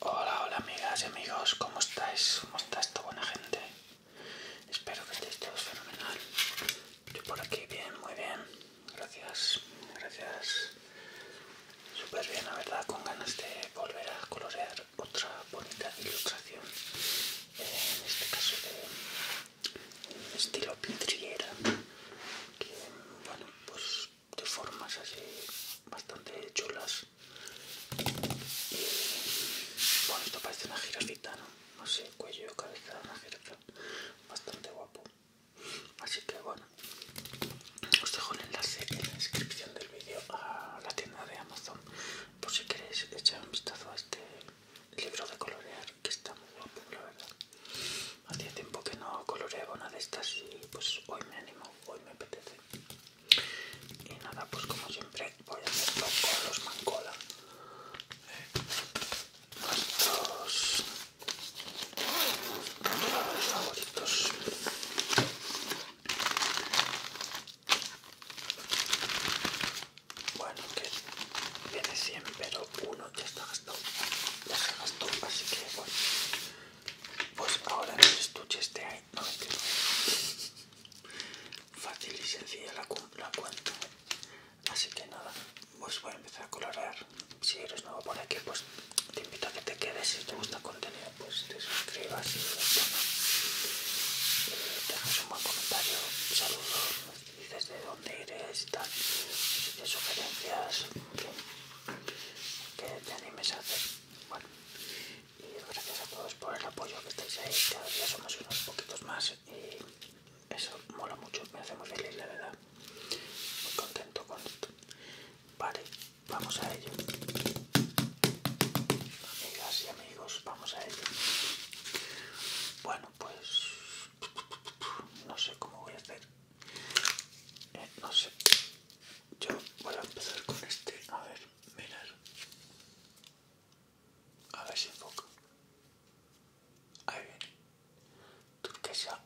Hola, hola amigas y amigos, ¿cómo estáis? ¿Cómo está esta buena gente? Espero que estéis todos fenomenal. Yo por aquí bien, muy bien. Gracias, gracias. Súper bien, la verdad, con ganas de volver a colorear otra bonita ilustración. En este caso de estilo pitriera de formas así bastante chulas. Y, bueno, esto parece una jirafita, ¿no? sé, cuello, cabeza, una jirafa. Bastante guapo. Así que bueno, os dejo el enlace en la descripción del vídeo a la tienda de Amazon. Por si queréis echar un vistazo a este libro de colorear, que está muy guapo, la verdad. Hacía tiempo que no coloreaba una de estas y pues hoy me animo, hoy me apetece y nada pues como siempre voy a hacerlo con los mancola nuestros favoritos bueno que viene 100 pero uno ya está gastado ya se gastó así que bueno pues ahora estuche este hay. Fácil y sencilla la, cuenta. Así que nada, pues voy a empezar a colorear. Si eres nuevo por aquí, pues te invito a que te quedes. Si te gusta el contenido, pues te suscribas y dejas eh, un buen comentario. Saludos, dices de dónde eres y tal. De sugerencias, que, que te animes a hacer bueno, y gracias a todos por el apoyo que estáis ahí. Cada somos unos poquitos más y eso mola mucho, me hace muy feliz, la verdad. Muy contento con esto. Vale, vamos a ello. Amigas y amigos, vamos a ello. Bueno, pues no sé cómo voy a hacer. Eh, no sé yo voy a empezar con este, a ver, mirar, a ver si enfoca, ahí viene, turquesa,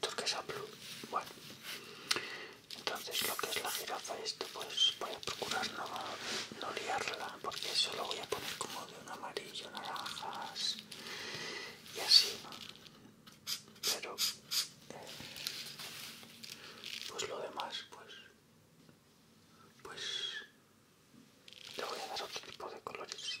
turquesa blue, bueno, entonces lo que es la jirafa esto pues voy a procurar no, no liarla porque eso lo voy a poner como de un amarillo, naranjas y así, pero eh, pues lo demás pues pues le voy a dar otro tipo de colores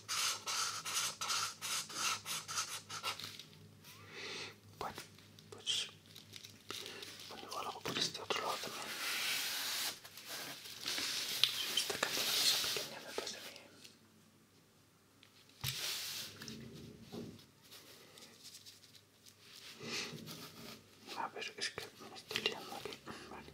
Bueno, pues pongo algo por este otro lado también. Se me está cayendo la mesa pequeña me de mí. A ver, es que me estoy liando aquí. Vale.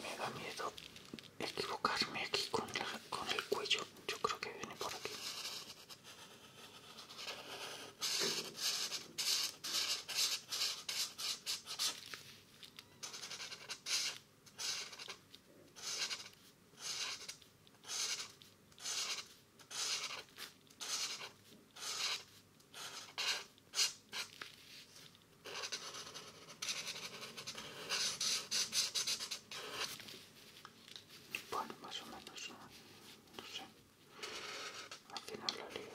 Me da miedo equivocarme aquí con, con el cuello. Yo creo que viene por aquí. Bueno, más o menos, no, sé. Al final lo libras.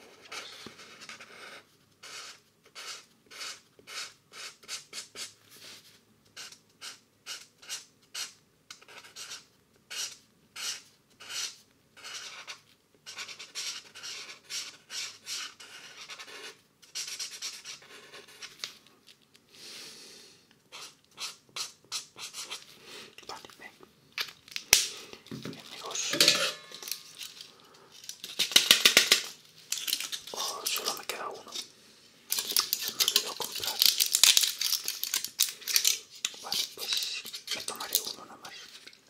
Vale, amigos. Oh, solo me queda uno. Se me olvidó comprar. Vale, pues me tomaré uno nada más.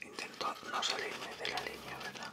Intento no salirme de la línea, ¿verdad?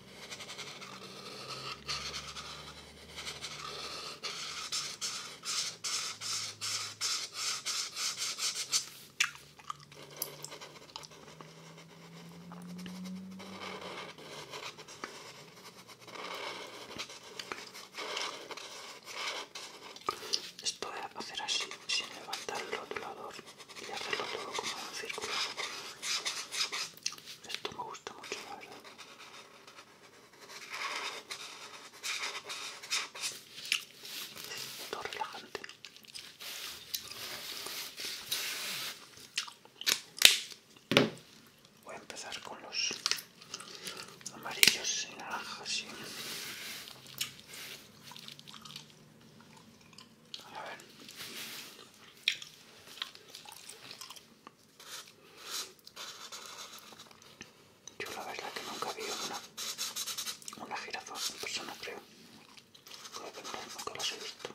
Esto voy a hacer así, sin levantar el rotulador y hacerlo todo como un círculo. Esto me gusta mucho, la verdad. relajante. Voy a empezar con los amarillos y naranjas. A ver. Yo la verdad que nunca vi una, una jirafa en persona, creo. Creo que nunca las he visto.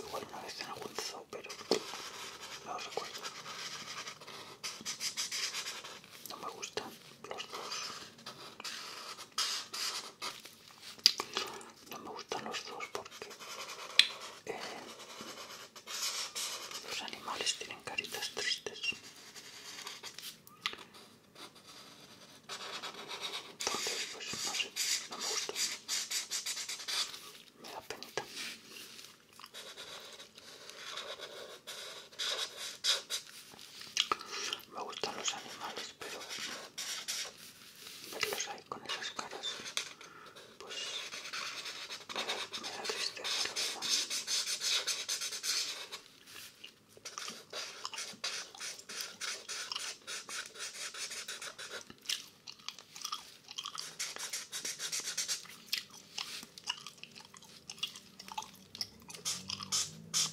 O igual una vez en algún pero no recuerdo. No me gustan los dos. No me gustan los dos porque eh, los animales tienen caritas tristes. Entonces, pues no sé, no me gustan. Me da penita. Me gustan los animales, pero verlos ahí con esas caras, pues me da, tristeza, la verdad.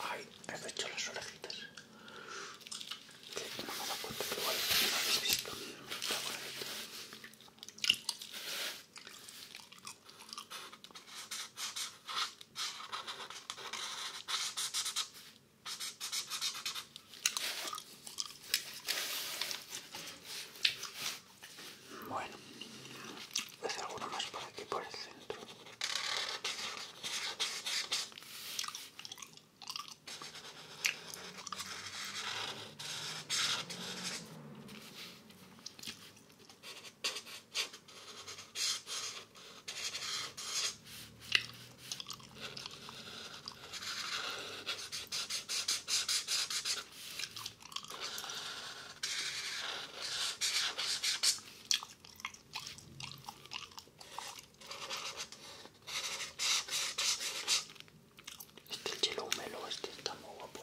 Ay, he hecho las orejitas. Que no me he dado cuenta que igual no habéis visto. Está bonito. Bueno, voy a hacer alguno más por aquí, por el centro. Este chelo este está muy guapo.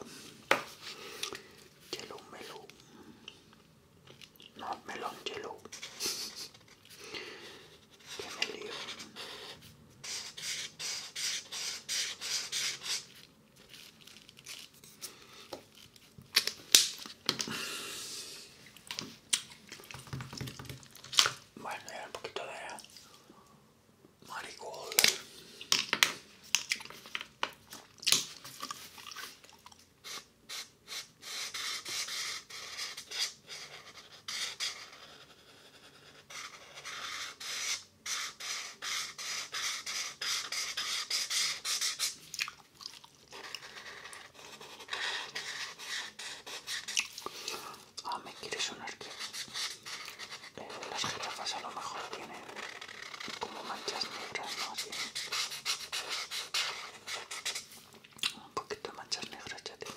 Yellow Melo. No, melón chelo Que me lío. Bueno, ya un poquito de marigold. Ah, me quiere sonar que eh, las jirafas a lo mejor tienen como manchas negras, ¿no? Un poquito de manchas negras ya tiene.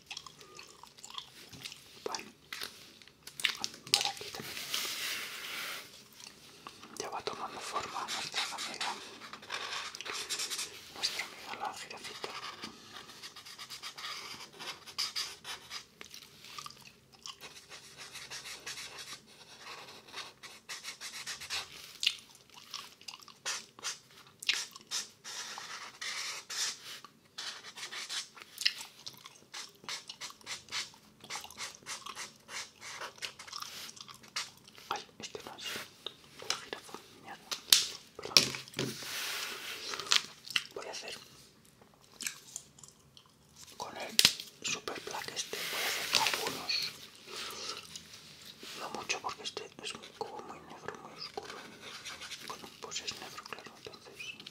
aquí Ya va tomando forma nuestra amiga, nuestra amiga la girafita. Ay, este más, Perdón. Voy a hacer con el super black este, voy a hacer algunos. No mucho porque este es como muy negro, muy oscuro. Bueno, pues es negro, claro, entonces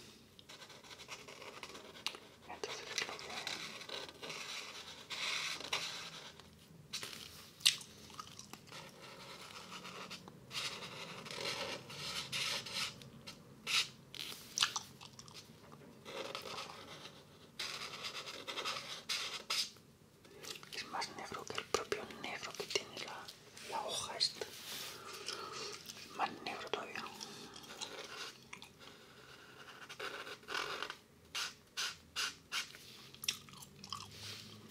es más negro que el propio negro que tiene la la hoja esta más negro todavía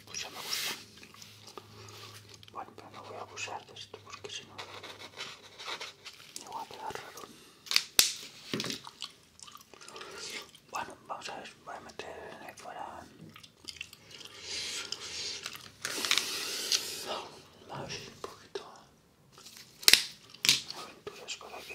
pues ya me gusta bueno pero no voy a abusar de esto porque si no me voy a quedar raro bueno vamos a ver voy a meter ahí fuera a un poquito aventuras por aquí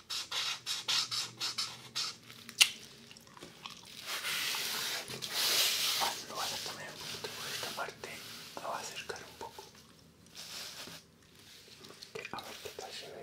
Lo vas a poner un poquito por esta parte, lo vas a acercar un poco. A ver qué tal se ve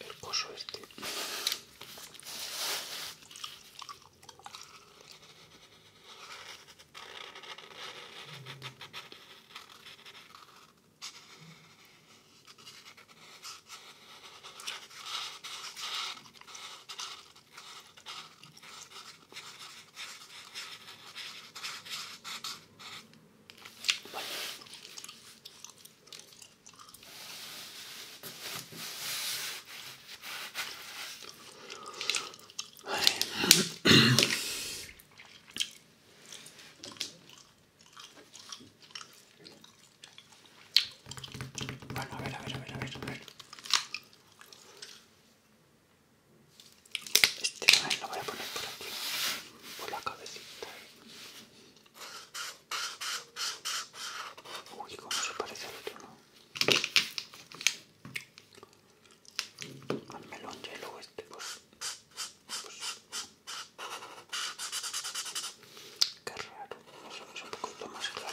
el coso este bueno, a ver, a ver, a ver, a ver, Este lo voy a poner por aquí, por la cabecita. Uy, cómo se parece al otro, ¿no? Al melón hielo este, pues, pues... Qué raro, eso es un poquito más claro.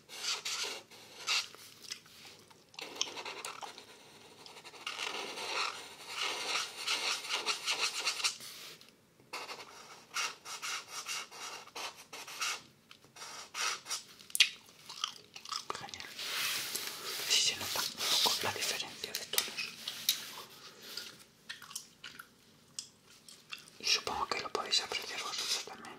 Genial. Si se nota un poco la diferencia de tonos. Y supongo que lo podéis apreciar vosotros también.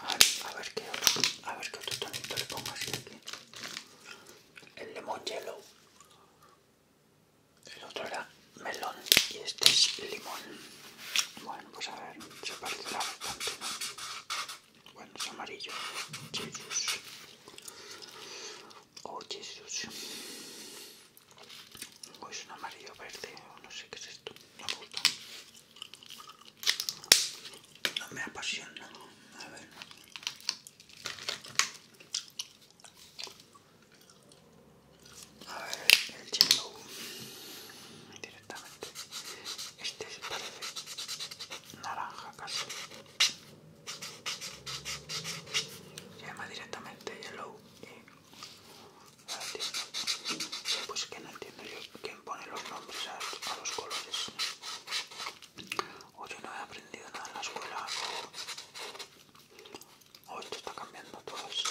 A, ver qué otro, a ver qué otro tonito le pongo así aquí. El limón yellow. El otro era melón y este es limón. Bueno, pues a ver, se parecerá bastante, Bueno, es amarillo. Jesus. Oh, Jesus. O es pues un amarillo verde, no sé qué es esto. Me gusta no me apasiona. A ver. A ver, el yellow directamente. Este se parece naranja casi. Se llama directamente yellow y ahora Pues quién pone los nombres a, los colores. hoy no he aprendido nada en la escuela, hoy está cambiando todo esto.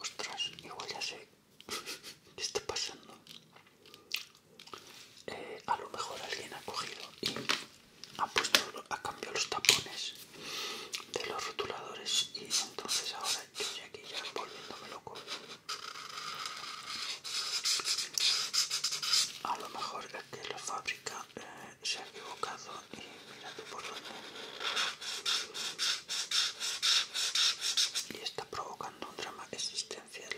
Ostras, igual ya sé qué está pasando. Eh, a lo mejor alguien ha cogido y ha puesto a cambiar los tapones de los rotuladores y entonces ahora yo estoy aquí ya volviéndome loco. A lo mejor es que la fábrica eh, se ha equivocado y por y está provocando un drama existencial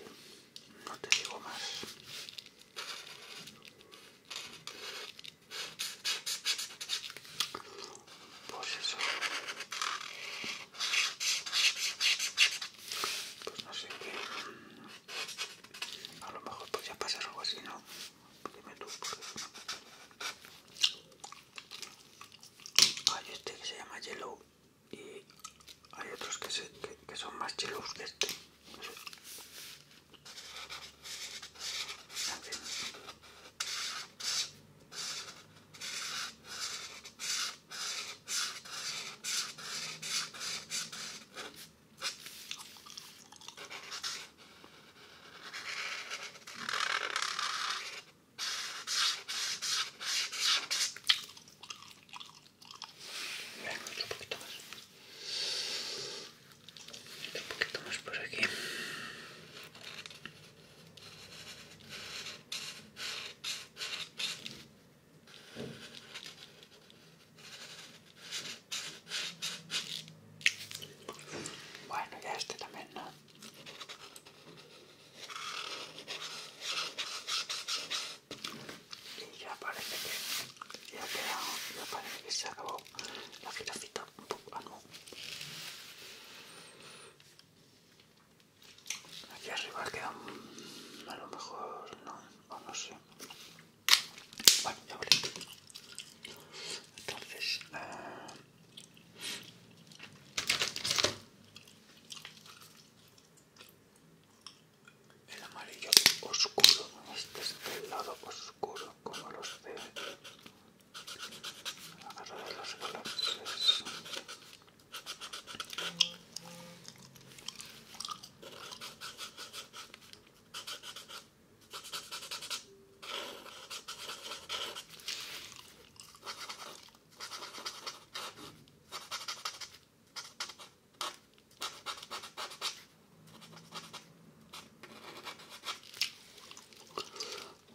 no te digo más pues eso pues no sé qué a lo mejor podría pasar algo así no Dime tú. Hay este que se llama Yellow y hay otros que, son más yellows que este un poquito más un poquito más por aquí bueno, ya este también, ¿no? Y ya parece que ya queda, ya parece que se acabó la giracita. Ah, Aquí arriba queda a lo mejor no, o no sé. Bueno, ya Entonces, eh, el amarillo oscuro, este es el lado oscuro, como los de los los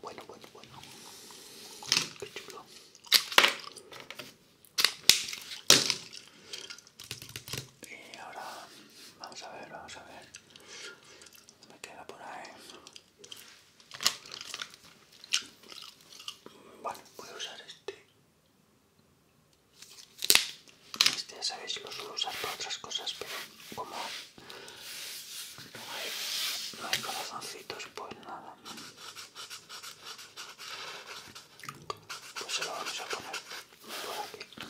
bueno, bueno, bueno. Qué chulo. Y ahora vamos a ver, vamos a ver. Me queda por ahí. Bueno, voy a usar este. Este ya sabéis, lo suelo usar para otras cosas, pero como no hay corazoncitos, pues nada. Pues se lo vamos a poner por aquí.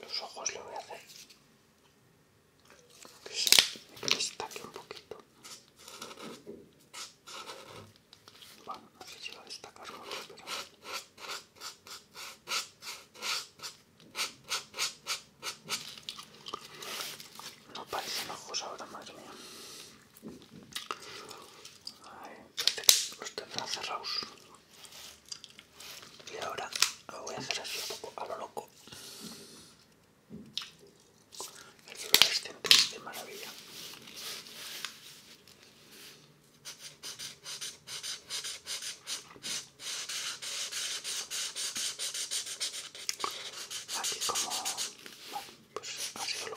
Los ojos lo voy a hacer. Que se destaque un poquito. Bueno, no sé si va a destacar no, pero... No parecen ojos ahora, madre mía los tendrán cerrados. Y ahora lo voy a hacer así a lo loco. El es de maravilla. Así como... pues ha sido lo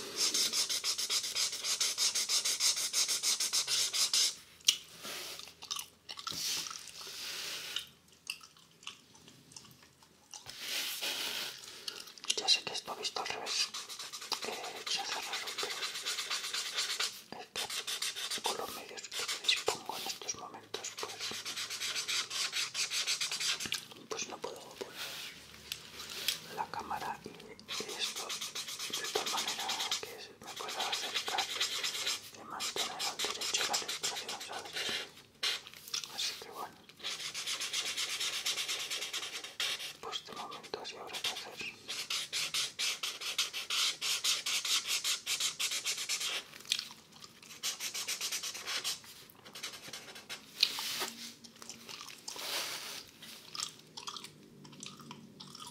Ya sé que esto ha visto al revés. que eh, se ha cerrado pero este, con los medios que dispongo en estos momentos, pues, pues no puedo poner la cámara y y esto de tal manera que me pueda acercar y mantener al derecho a la respiración, ¿sabes? Así que bueno, pues de momento así habrá que hacer.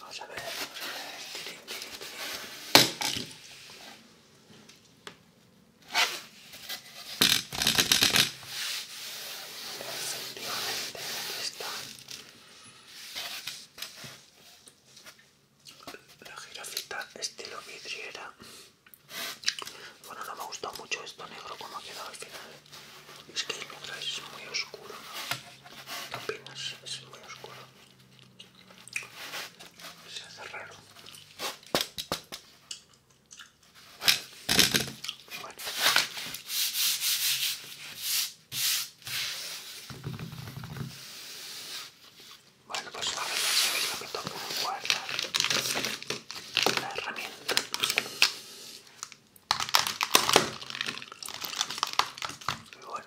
Vamos a ver, vamos a ver. Tirín, tirín, tirín. Efectivamente, aquí está. La jirafita estilo vidriera. Bueno, no me ha gustado mucho esto negro como ha quedado al final. Es que el negro es muy oscuro. ¿Qué opinas? Es muy oscuro. Se hace raro. Bueno, bueno. Bueno, pues ahora ya sabéis lo que toca guardar la herramienta. Y bueno,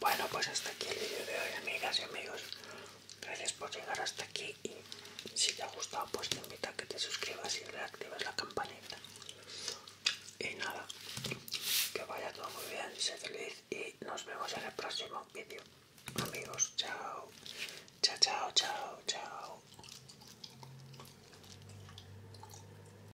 Bueno, pues hasta aquí el vídeo de hoy, amigas y amigos. Gracias por llegar hasta aquí y si te ha gustado, pues te invito a que te suscribas y reactives la campanita. Y nada, que vaya todo muy bien, feliz y nos vemos en el próximo vídeo. Amigos, chao. Chao, chao, chao, chao.